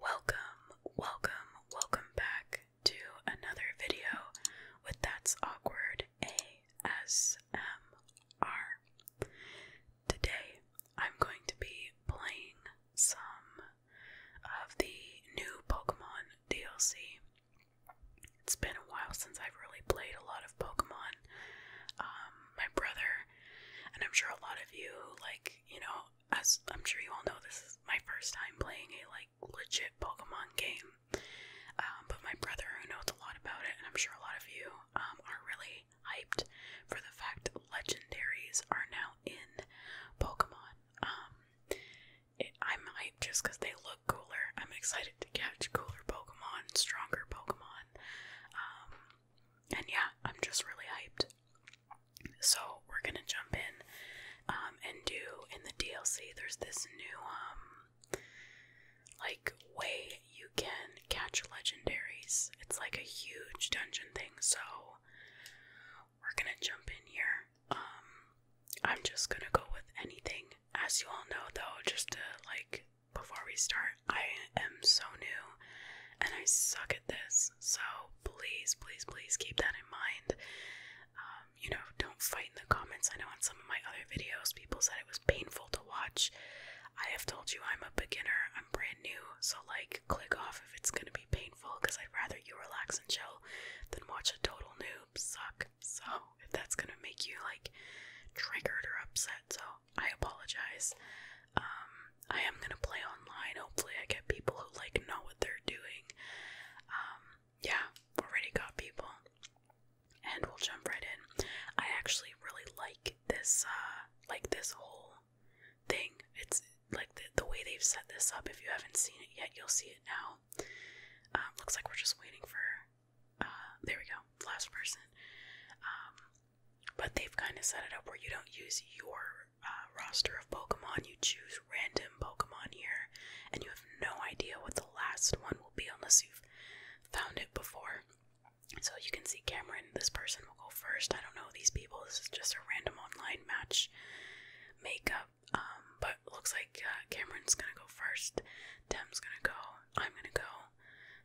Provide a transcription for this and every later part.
Welcome, welcome, welcome back to another video with That's Awkward ASMR. Today I'm going to be playing some of the new Pokemon DLC. It's been a while since I've really played a lot of Pokemon. Um, my brother, and I'm sure a lot of you, like, you know, as I'm sure you all know, this is my first time playing a, like, legit Pokemon game. Um, but my brother, who knows a lot about it, and I'm sure a lot of you, um, are really hyped for the fact that legendaries are now in Pokemon i might just because they look cooler. I'm excited to catch cooler Pokemon, stronger Pokemon. Um, and yeah, I'm just really hyped. So we're gonna jump in um, and do in the DLC. There's this new um, like way you can catch legendaries. It's like a huge dungeon thing. So we're gonna jump in here. I'm just gonna go with anything. As you all know, though, just to like before we start, I am so new and I suck at this, so please, please, please keep that in mind. Um, you know, don't fight in the comments. I know on some of my other videos, people said it was painful to watch. I have told you I'm a beginner, I'm brand new, so like, click off if it's gonna be painful because I'd rather you relax and chill than watch a total noob suck so if that's gonna make you like triggered or upset, so I apologize. Um, I am gonna play online. Hopefully, I get people who like know what they're doing. Um, yeah, already got people, and we'll jump right in. I actually really like this, uh, like this whole thing. It's like the, way they've set this up. If you haven't seen it yet, you'll see it now. Uh, looks like we're just waiting for uh, there we go, last person. Um, but they've kind of set it up where you don't use your uh, roster of Pokemon, you choose random Pokemon here, and you have no idea what the last one will be unless you've found it before. So you can see Cameron, this person will go first. I don't know these people, this is just a random online match makeup. Um, but looks like uh, Cameron's gonna go first. Dem's gonna go, I'm gonna go.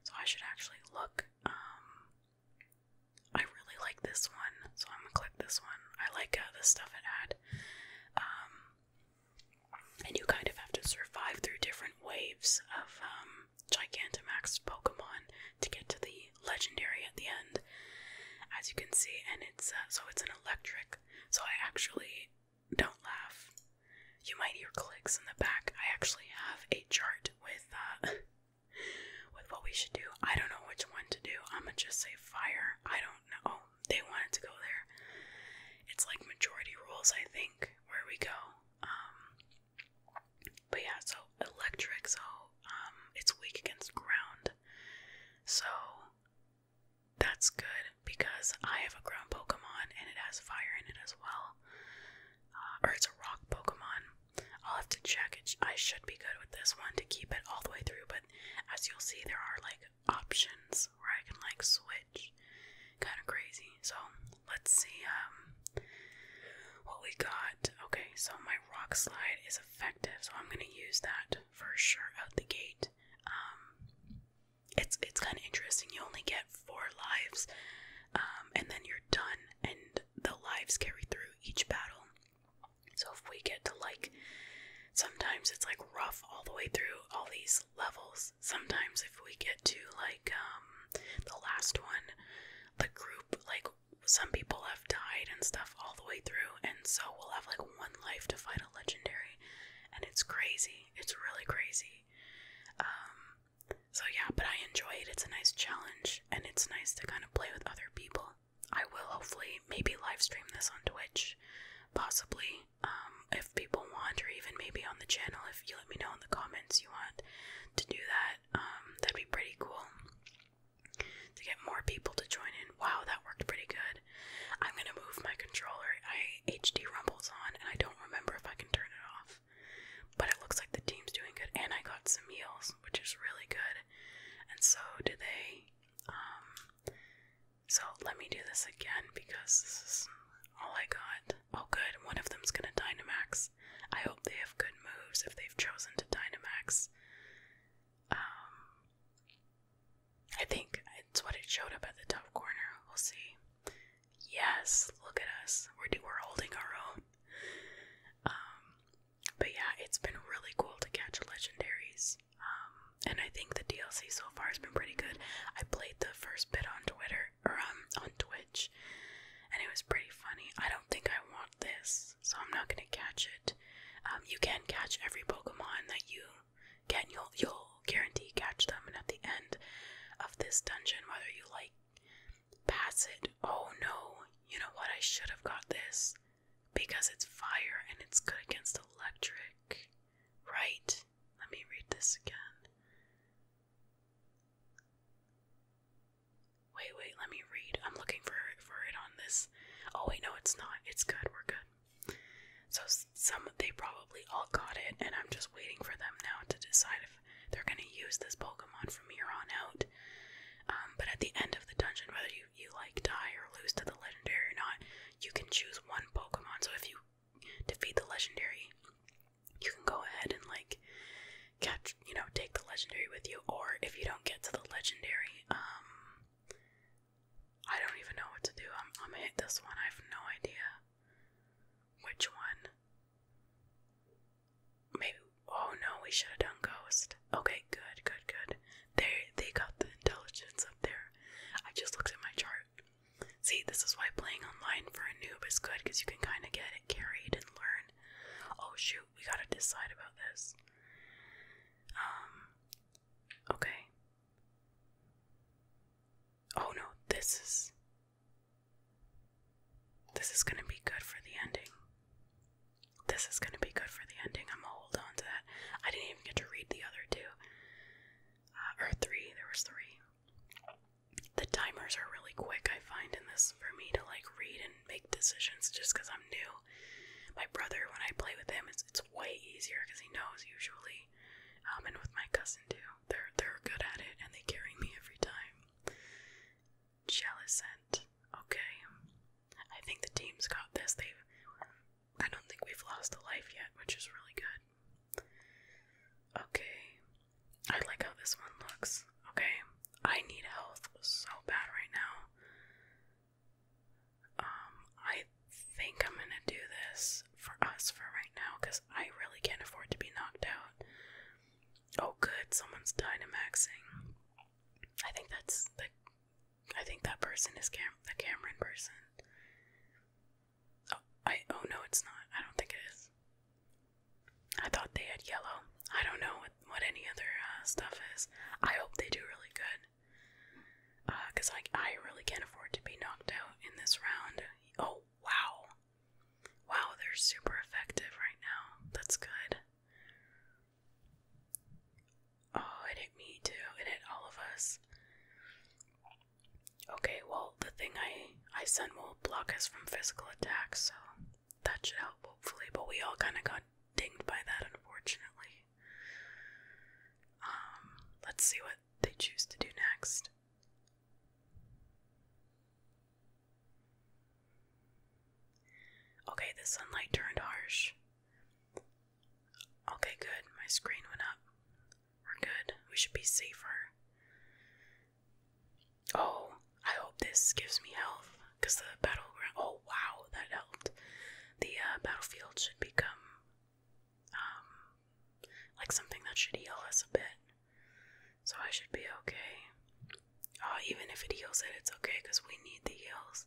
So I should actually look. Um, I really like this one, so I'm gonna click this one. I like uh, the stuff it had. Um, and you kind of have to survive through different waves of um, Gigantamax Pokemon to get to the legendary at the end, as you can see. And it's uh, so it's an electric. So I actually don't laugh. You might hear clicks in the back. I actually have a chart with uh with what we should do. I don't know which one to do. I'ma just say fire. I don't know. they wanted to go there. It's like majority rules, I think, where we go. Um but yeah, so electric, so um it's weak against ground. So that's good because I have a ground Pokemon and it has fire in it as well. Uh, or it's a rock Pokemon. I'll have to check I should be good with this one to keep it all the way through, but as you'll see, there are like options where I can like switch. Kind of crazy. So let's see um, what we got. Okay, so my rock slide is effective, so I'm going to use that for sure out the gate. Um, it's it's kind of interesting. You only get four lives, um, and then you're done. And the lives carry through each battle. So if we get to like, sometimes it's like rough all the way through all these levels. Sometimes if we get to like um, the last one, the group like some people have died and stuff all the way through, and so we'll have like one life to fight a legendary, and it's crazy. It's really crazy. Um, so yeah, but I enjoy it. It's a nice challenge, and it's nice to kind of play with other people. I will hopefully maybe livestream this on Twitch, possibly, um, if people want, or even maybe on the channel if you let me know in the comments you want to do that. Um, that'd be pretty cool to get more people to join in. Wow, that worked pretty good. I'm gonna move my controller. I HD rumbles on, and I don't remember if I can turn it off. But it looks like the team's doing good, and I got some meals, which is really good. And so did they. Um, so let me do this again because this is all I got. Oh, good. One of them's gonna Dynamax. I hope they have good moves if they've chosen to Dynamax. Um, I think it's what it showed up at the top corner. We'll see. Yes, look at us. We're holding our own. Um, but yeah, it's been really cool to catch legendaries. Um, and I think the DLC so far has been pretty good. I played the first bit on Twitter or um on Twitch, and it was pretty funny. I don't think I want this, so I'm not gonna catch it. Um, you can catch every Pokemon that you Again, you'll you'll guarantee catch them, and at the end of this dungeon, whether you like pass it, oh no, you know what? I should have got this because it's fire and it's good against electric, right? Let me read this again. Wait, wait, let me read. I'm looking for for it on this. Oh wait, no, it's not. It's good. We're good. So some they probably all got it, and I'm just waiting for them now to decide if they're gonna use this Pokemon from here on out. Um, but at the end of the dungeon, whether you you like die or lose to the legendary or not, you can choose one Pokemon. So if you defeat the legendary, you can go ahead and like catch you know take the legendary with you. Or if you don't get to the legendary, um, I don't even know what to do. I'm, I'm gonna hit this one. I have no idea which one. Maybe. Oh no, we should have done ghost. Okay, good, good, good. They they got the intelligence up there. I just looked at my chart. See, this is why playing online for a noob is good because you can kind of get it carried and learn. Oh shoot, we gotta decide about this. Um. Okay. Oh no, this is. This is gonna be good for the ending. This is gonna be good for the ending. I'm gonna hold on to that. I didn't even get to read the other two. Uh, or three, there was three. The timers are really quick, I find, in this for me to like read and make decisions just because I'm new. My brother, when I play with him, it's, it's way easier because he knows usually I'm um, in with my cousin too. They're they're good at it, and they carry me every time. Jealous scent. Okay, I think the team's got this. they I don't think we've lost a life yet, which is really good. Okay, I like how this one looks. Okay, I need health so bad right now. Um, I think I'm gonna do this for us for right now because I really can't afford to be knocked out. Oh, good, someone's Dynamaxing. I think that's the. I think that person is Cam the Cameron person. Oh, I. Oh no, it's not. I don't think it is. I thought they had yellow. I don't know what what any other uh, stuff is. I hope they do really good because uh, I, really can't afford to be knocked out in this round. Oh, wow. Wow, they're super effective right now. That's good. Oh, it hit me too. It hit all of us. Okay, well, the thing I, I sent will block us from physical attacks, so that should help, hopefully. But we all kind of got dinged by that, unfortunately. Um, let's see what they choose to do next. Okay, the sunlight turned harsh. Okay, good. My screen went up. We're good. We should be safer. Oh, I hope this gives me health because the battleground. Oh, wow, that helped. The uh, battlefield should become um, like something that should heal us a bit. So I should be okay. Oh, even if it heals it, it's okay because we need the heals.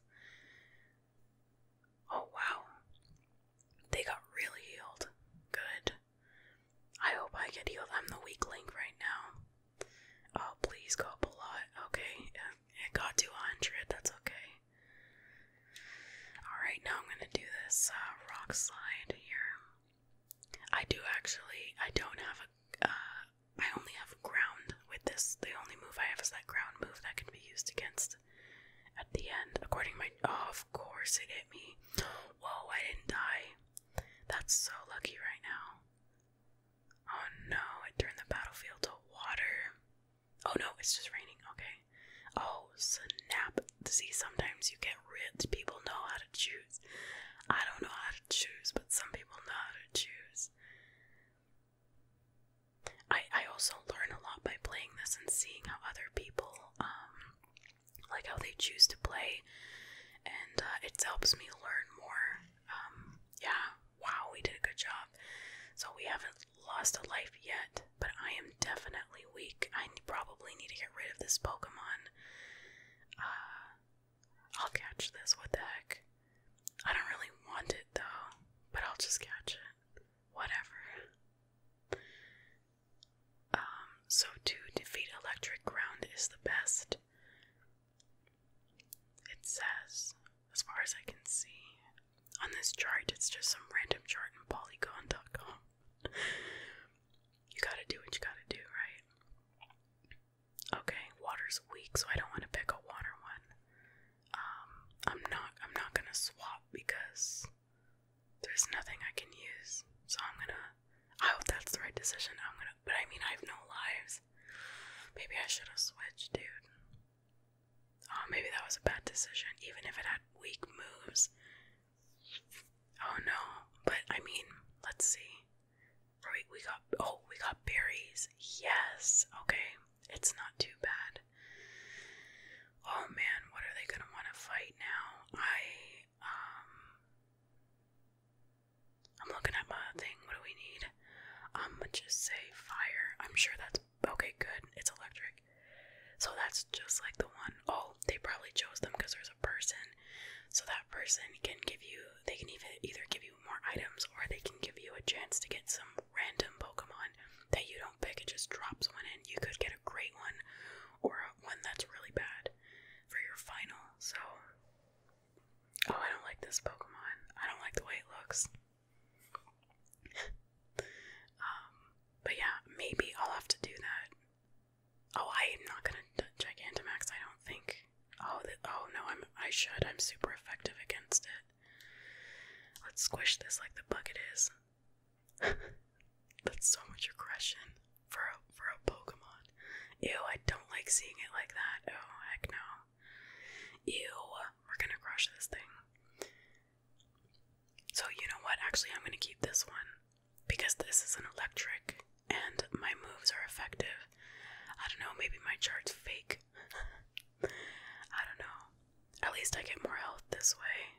Oh wow. They got really healed. Good. I hope I get healed. I'm the weak link right now. Oh, please go up a lot. Okay, it got to 100. That's okay. Alright, now I'm gonna do this uh, rock slide here. I do actually, I don't have a. Uh, I only have ground with this. The only move I have is that ground move that can be used against at the end. According my, oh, of course it hit me. Whoa, I didn't die. That's so lucky right now. Oh no, it turned the battlefield to water. Oh no, it's just raining. Okay. Oh snap! See, sometimes you get rich. People know how to choose. I don't know how to choose, but some people know how to choose. I I also learn a lot by playing this and seeing how other people um like how they choose to play, and uh, it helps me learn more. Um, yeah. Wow, we did a good job. So we haven't lost a life yet, but I am definitely weak. I probably need to get rid of this Pokemon. Uh, I'll catch this. What the heck? I don't really want it though, but I'll just catch it. Whatever. Um, so to defeat electric ground is the best. It says, as far as I can see, on this chart, it's just some random chart in polygon.com you gotta do what you gotta do, right? Okay, water's weak, so I don't want to pick a water one. Um, I'm not. I'm not gonna swap because there's nothing I can use. So I'm gonna. I hope that's the right decision. I'm gonna. But I mean, I have no lives. Maybe I should have switched, dude. Oh, maybe that was a bad decision, even if it had weak moves. Oh no, but I mean, let's see. Right, we got oh, we got berries. Yes, okay, it's not too bad. Oh man, what are they gonna want to fight now? I um, I'm looking at my thing. What do we need? I'm gonna just say fire. I'm sure that's Okay, good. It's electric. So that's just like the one. Oh, they probably chose them because there's a person. So that person can give you, they can even either give you more items or they can give you a chance to get some random Pokemon that you don't pick. It just drops one in. You could get a great one or one that's really bad for your final. So, oh, I don't like this Pokemon. I don't like the way it looks. um, but yeah, maybe I'll have to do that. Oh, I'm not gonna Gigantamax. I don't think. Oh, oh no, I'm. I should. I'm super effective against it. Let's squish this like the bug it is. That's so much aggression for a for a Pokemon. Ew, I don't like seeing it like that. Oh heck no. Ew, we're gonna crush this thing. So, you know what? Actually, I'm going to keep this one because this is an electric and my moves are effective. I don't know, maybe my chart's fake. I don't know. At least I get more health this way.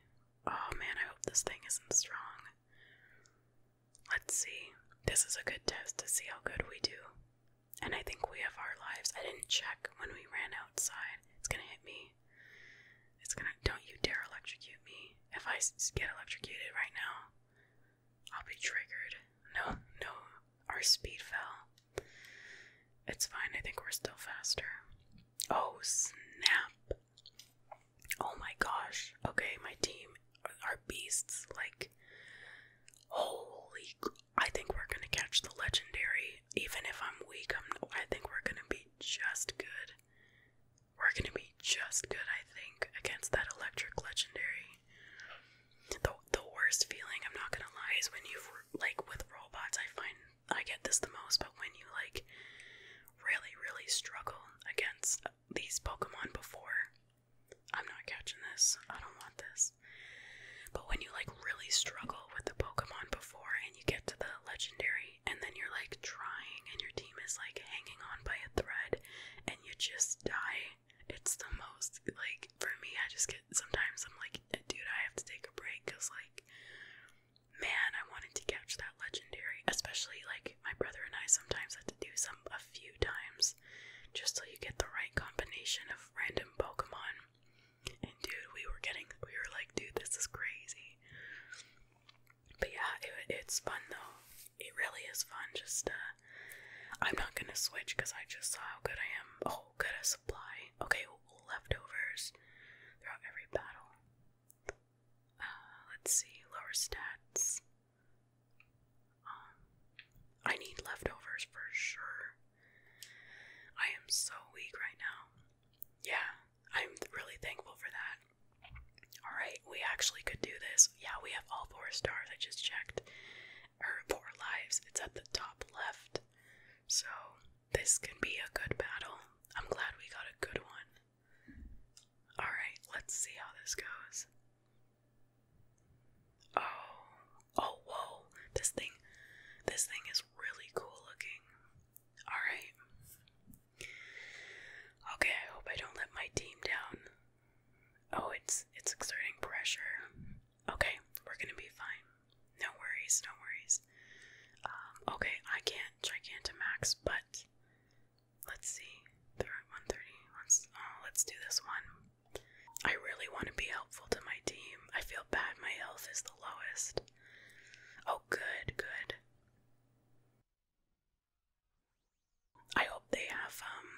Oh man, I hope this thing isn't strong. Let's see. This is a good test to see how good we do. And I think we have our lives. I didn't check when we ran outside. It's gonna hit me. It's gonna. Don't you dare electrocute me. If I get electrocuted right now, I'll be triggered. No, no, our speed fell. It's fine, I think we're still faster. Oh, snap. Oh my gosh. Okay, my team are beasts. Like, holy. I think we're gonna catch the legendary even if I'm weak, I'm, I think we're gonna be just good. We're gonna be just good, I think, against that electric legendary. The, the worst feeling, I'm not gonna lie, is when you've, like, with robots, I find I get this the most, but when you, like, really, really struggle against these Pokemon before, I'm not catching this, I don't want this. But when you, like, really struggle with the Pokemon before and you get to the legendary and then you're like trying, and your team is like hanging on by a thread, and you just die. It's the most like for me, I just get sometimes I'm like, dude, I have to take a break because, like, man, I wanted to catch that legendary, especially like my brother and I sometimes have to do some a few times just so you get the right combination of random Pokemon. And dude, we were getting, we were like, dude, this is crazy. But yeah, it's fun though. It really is fun. Just, uh, I'm not gonna switch because I just saw how good I am. Oh, good at supply. Okay, leftovers throughout every battle. Uh, let's see, lower stats. Um, I need leftovers for sure. I am so weak right now yeah, I'm really thankful for that. Alright, we actually could do this. Yeah, we have all four stars. I just checked. Or er, four lives. It's at the top left. So, this can be a good battle. I'm glad we got a good one. Alright, let's see how this goes. Oh, oh, whoa. This thing, this thing is really cool looking. Alright. Okay, I hope I don't let my team down. Oh, it's it's exerting pressure. Okay, we're gonna be fine. No worries, no worries. Um, okay, I can't Gigantamax, but let's see. 130. let's do this one. I really want to be helpful to my team. I feel bad my health is the lowest. Oh, good, good. I hope they have, um,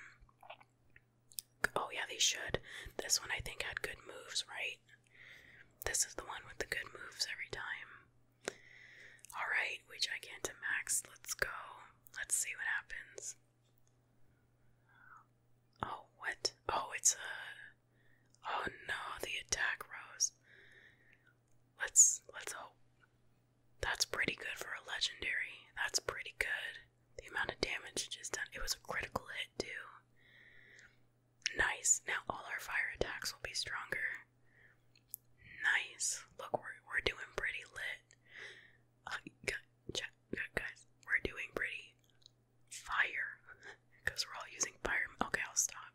oh yeah, they should. This one I think had good moves, right? This is the one with the good moves every time. Alright, we check into max. Let's go. Let's see what happens. Oh, what? Oh, it's Oh no, the attack rose. Let's let's hope. That's pretty good for a legendary. That's pretty good. The amount of damage just done. It was a critical hit too. Nice. Now all our fire attacks will be stronger. Nice. Look, we're we're doing pretty lit. Uh, guys, we're doing pretty fire. Because we're all using fire. Okay, I'll stop.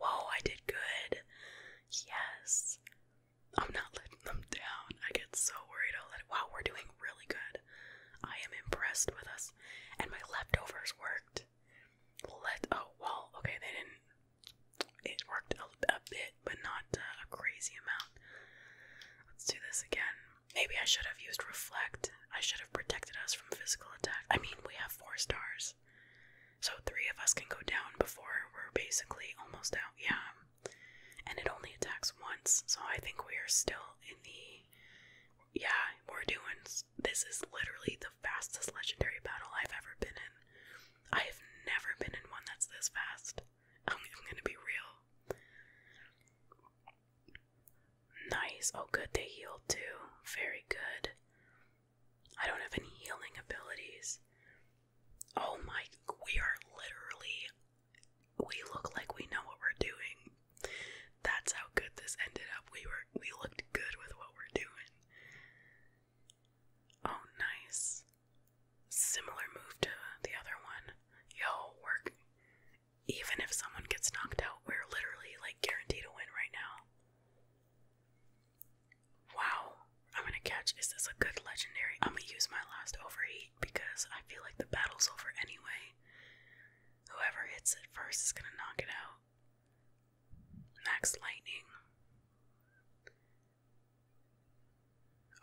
Whoa, I did good. Yes. I'm not letting them down. I get so worried. I'll let Wow, we're doing really good. I am impressed with us. And my leftovers worked. Let. Oh, well, okay, they didn't. It worked a, bit, but not uh, a crazy amount. Let's do this again. Maybe I should have used reflect. I should have protected us from physical attack. I mean, we have four stars. So three of us can go down before we're basically almost out. Yeah. And it only attacks once, so I think we are still in the. Yeah, we're doing. This is literally the fastest legendary battle I've ever been in. I have never been in one that's this fast. I'm, I'm gonna be real. Nice. Oh, good. They healed too. Very good. I don't have any healing abilities. Oh my, we are literally, we look like we know what we're doing. That's how good this ended up. We were, we looked good with what we're doing. Oh, nice. Similar move to the other one. Yo, work. Even if someone gets knocked out, we're literally like guaranteed to win right now. Wow, I'm gonna catch. Is this a good legendary? I'm gonna use my last overheat because I feel like the battle's over anyway. Whoever hits it first is gonna knock it out. Max lightning.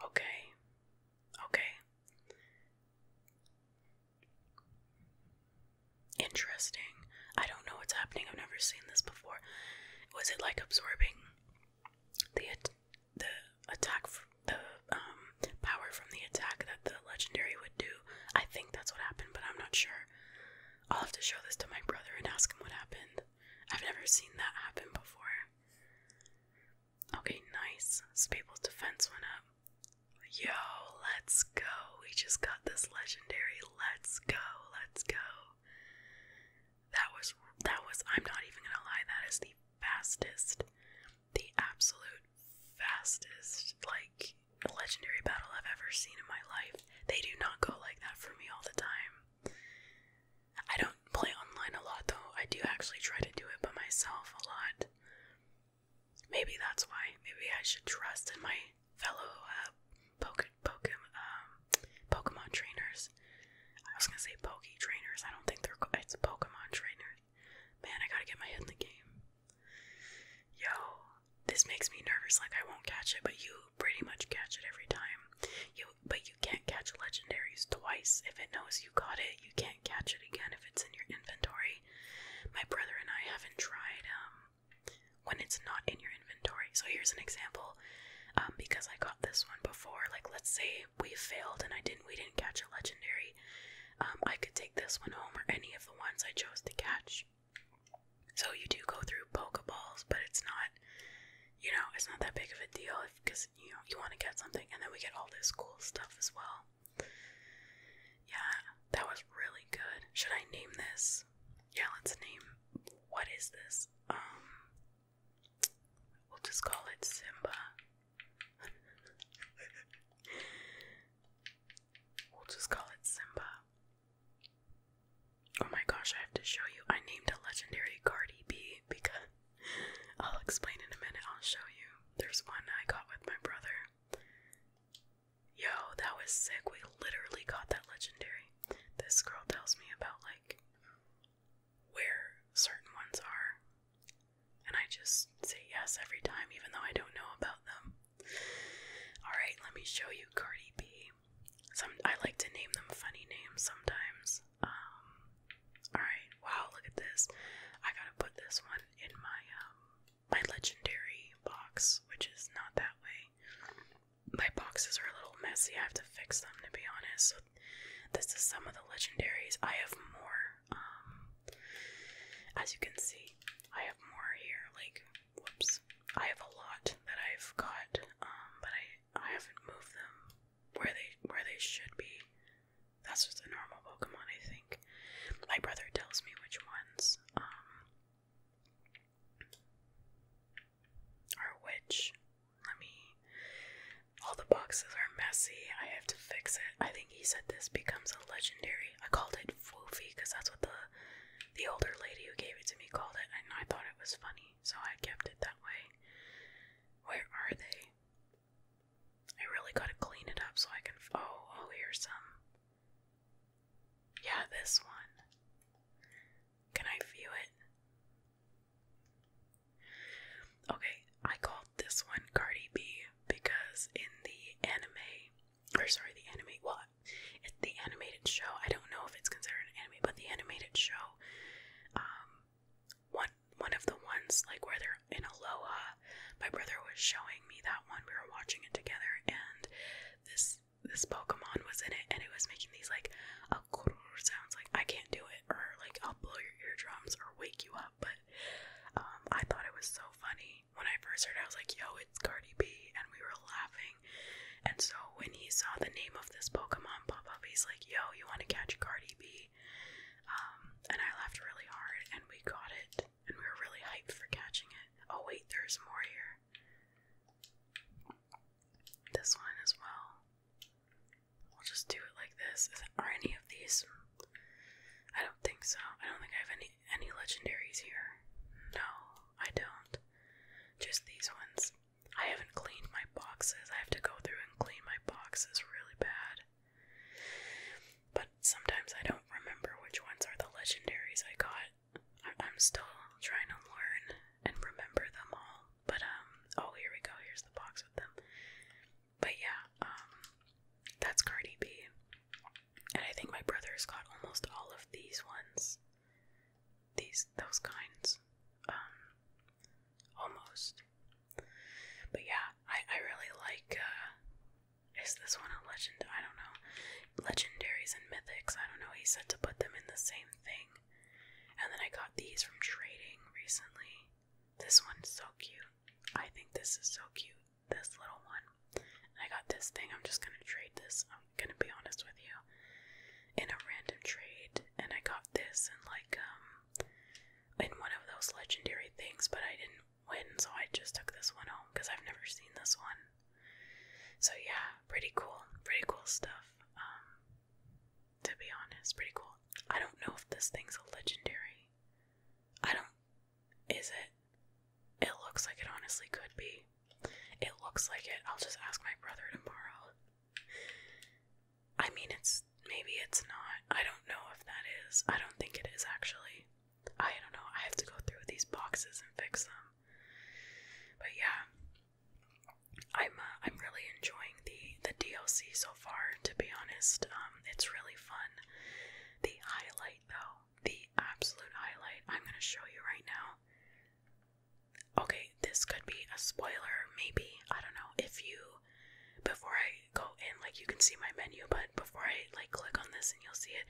Okay. Okay. Interesting. I don't know what's happening. I've never seen this before. Was it like absorbing the the attack, from the um, power from the attack that the legendary would do? I think that's what happened, but I'm not sure. I'll have to show this to my brother and ask him what happened. I've never seen that happen before. Okay, nice. Spable's defense went up. Yo, let's go we just got this legendary let's go, let's go. That was that was I'm not even gonna lie, that is the fastest, the absolute fastest like legendary battle I've ever seen in my life. They do not go like that for me all the time. I don't play online a lot though. I do actually try to do it by myself a lot. Maybe that's why. Maybe I should trust in my fellow uh, poke, poke, um, Pokemon trainers. I was gonna say Poke trainers. I don't think they're. It's Pokemon trainers. Man, I gotta get my head in the game. Yo, this makes me nervous. Like I won't catch it, but you pretty much catch it every time. You, but you can't catch legendaries twice. If it knows you got it, you can't catch it again if it's in your inventory. My brother and I haven't tried um when it's not in your inventory. So here's an example. Um, because I got this one before, like let's say we failed and I didn't we didn't catch a legendary. Um, I could take this one home or any of the ones I chose to catch. So you do go through Pokeballs, but it's not you know, it's not that big of a deal because you know you want to get something and then we get all this cool stuff as well. Yeah, that was really good. Should I name this yeah, let's name what is this? Um we'll just call it Simba. we'll just call it Simba. Oh my gosh, I have to show you. I named a legendary Cardi B because I'll explain in a minute. I'll show you. There's one I got with my brother. Yo, that was sick. We literally got that legendary. This girl tells me about like where certain ones are, and I just say yes every time, even though I don't know about them. Alright, let me show you Cardi B. Some I like to name them funny names sometimes. Um, Alright, wow, look at this. I gotta put this one in my um, my legendary box, which is not that way. My boxes are a little messy. I have to fix them, to be honest. this is some of the legendaries. I have more. Um, as you can see, I have more here. Like, whoops. I have a lot that I've got, um, but I I haven't moved them where they where they should be. That's just a normal Pokemon, I think. My brother tells me which ones. Um, or which? Let me. All the boxes are messy. I have to fix it. I think he said this becomes a legendary. I called it Foofy because that's what the the older lady who gave it to me called it, and I thought it was funny, so I kept it that way. Where are they? I really gotta clean it up so I can. Oh, oh, here's some. Yeah, this one. Can I view it? Okay, I called this one Cardi B because in the anime, or sorry, the anime, well, it's the animated show, I don't know if it's considered an anime, but the animated show, um, one one of the ones like where they're in Aloha, my brother was showing me that one. We were watching it together, and this this Pokemon was in it and it was making these like a sounds like I can't do it or like I'll blow your eardrums or wake you up. But um, I thought it was so funny when I first heard. It, I was like, "Yo, it's Cardi B," and we were laughing. And so when he saw the name of this Pokemon pop up, he's like, "Yo, you want to catch Cardi B?" Um, and I laughed really hard, and we got it and we were really hyped for catching it. Oh, wait, there's more here. This one as well. We'll just do it like this. are any of these? I don't think so. I don't think I have any any legendaries here. No, I don't. Just these ones. I haven't cleaned my boxes. I have to go through and clean my boxes really bad. But sometimes I don't remember which ones are the legendaries I got I'm still trying to learn and remember them all. But um, oh here we go. Here's the box with them. But yeah, um, that's Cardi B, and I think my brother's got almost all of these ones. These those kinds, um, almost. But yeah, I I really like uh, is this one a legend? I don't know. Legendaries and mythics. I don't know. He said to put them in the same thing. And then I got these from trading recently. This one's so cute. I think this is so cute. This little one. I got this thing. I'm just gonna trade this. I'm gonna be honest with you. In a random trade. And I got this in like um in one of those legendary things, but I didn't win, so I just took this one home because I've never seen this one. So yeah, pretty cool, pretty cool stuff. Um, to be honest, pretty cool. I don't know if this thing's a legendary. I don't. Is it? It looks like it honestly could be. It looks like it. I'll just ask my brother tomorrow. I mean, it's maybe it's not. I don't know if that is. I don't think it is actually. I don't know. I have to go through these boxes and fix them but yeah, I'm uh, I'm really enjoying the the DLC so far. To be honest, um, it's really fun. The highlight, though, the absolute highlight, I'm gonna show you right now. Okay, this could be a spoiler, maybe. I don't know if you before I go in, like you can see my menu, but before I like click on this and you'll see it,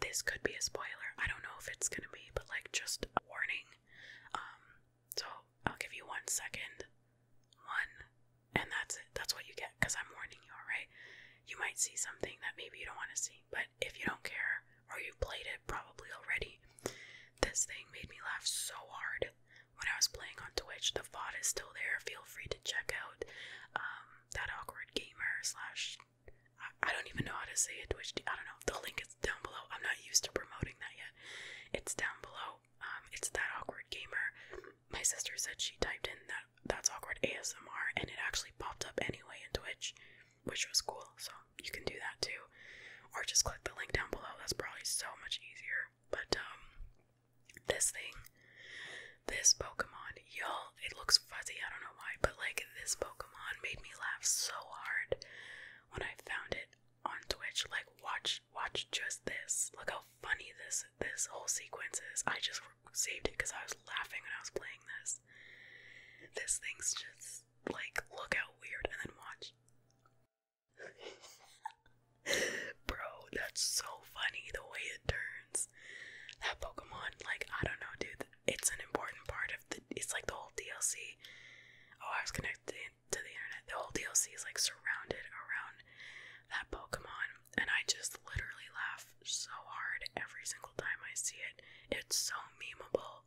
this could be a spoiler. I don't know if it's gonna be, but like just a warning. Um, so I'll give you one second, one, and that's it. That's what you get because I'm warning you, alright? You might see something that maybe you don't want to see, but if you don't care or you've played it probably already, this thing made me laugh so hard when I was playing on Twitch. The VOD is still there. Feel free to check out um, that awkward gamer slash I, don't even know how to say it. Twitch, I don't know. The link is down below. I'm not used to promoting that yet. It's down below. Um, it's that awkward gamer. My sister said she typed in that that's awkward ASMR, and it actually popped up anyway in Twitch, which was cool. So you can do that too, or just click the link down below. That's probably so much easier. But um, this thing, this Pokemon y'all, it looks fuzzy, I don't know why, but like this Pokemon made me laugh so hard when I found it on Twitch. Like watch watch just this. Look how funny this this whole sequence is. I just saved it because I was laughing when I was playing this. This thing's just like look how weird and then watch. Bro, that's so funny the way it turns. That Pokemon, like, I don't know, dude it's an important part of the. It's like the whole DLC. Oh, I was connected to the internet. The whole DLC is like surrounded around that Pokemon, and I just literally laugh so hard every single time I see it. It's so memeable,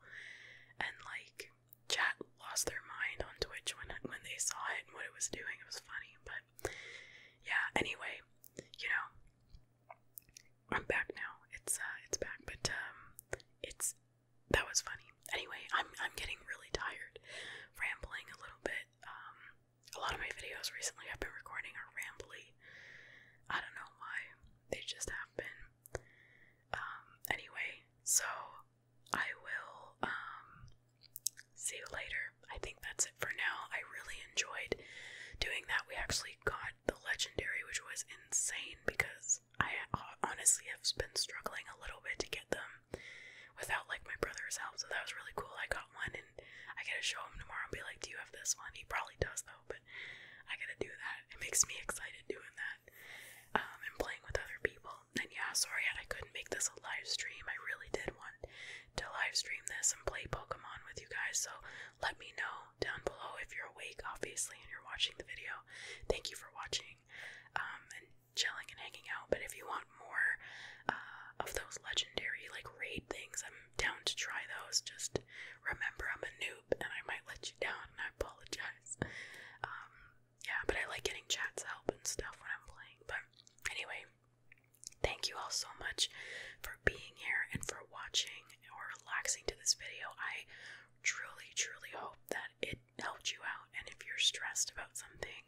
and like chat lost their mind on Twitch when when they saw it and what it was doing. It was funny, but yeah. Anyway, you know, I'm back now. It's uh, it's back, but um, it's that was funny. Anyway, I'm I'm getting really tired, rambling a little bit. Um, a lot of my videos recently I've been recording are rambly. I don't know why. They just have been. Um, anyway, so I will um see you later. I think that's it for now. I really enjoyed doing that. We actually got the legendary, which was insane because I uh, honestly have been struggling a little bit to get them without like my brother's help. So that was really cool. I got one and I gotta show him tomorrow and be like, Do you have this one? He probably does though, but I gotta do that. It makes me excited doing that um, and playing with other people. And yeah, sorry I couldn't make this a live stream. I really did want to live stream this and play Pokemon with you guys. So let me know down below if you're awake, obviously, and you're watching the video. Thank you for watching um, and chilling and hanging out. But if you want more uh, of those legendary like raid things, I'm down to try those. Just remember, I'm a noob and I might let you down, and I apologize. Um, yeah, but I like getting chat's help and stuff when I'm playing. But anyway, thank you all so much for being here and for watching or relaxing to this video. I truly, truly hope that it helped you out. And if you're stressed about something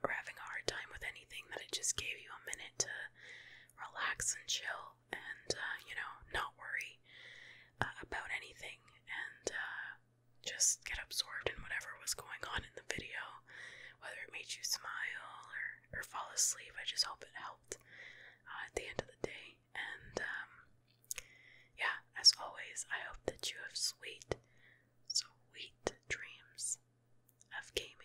or having a hard time with anything, that it just gave you a minute to relax and chill and, uh, you know, not worry uh, about anything and uh, just get absorbed in whatever was going on in the video, whether it made you smile or, or fall asleep. I just hope it helped. Uh, at the end of the day. And um, yeah, as always, I hope that you have sweet, sweet dreams of gaming.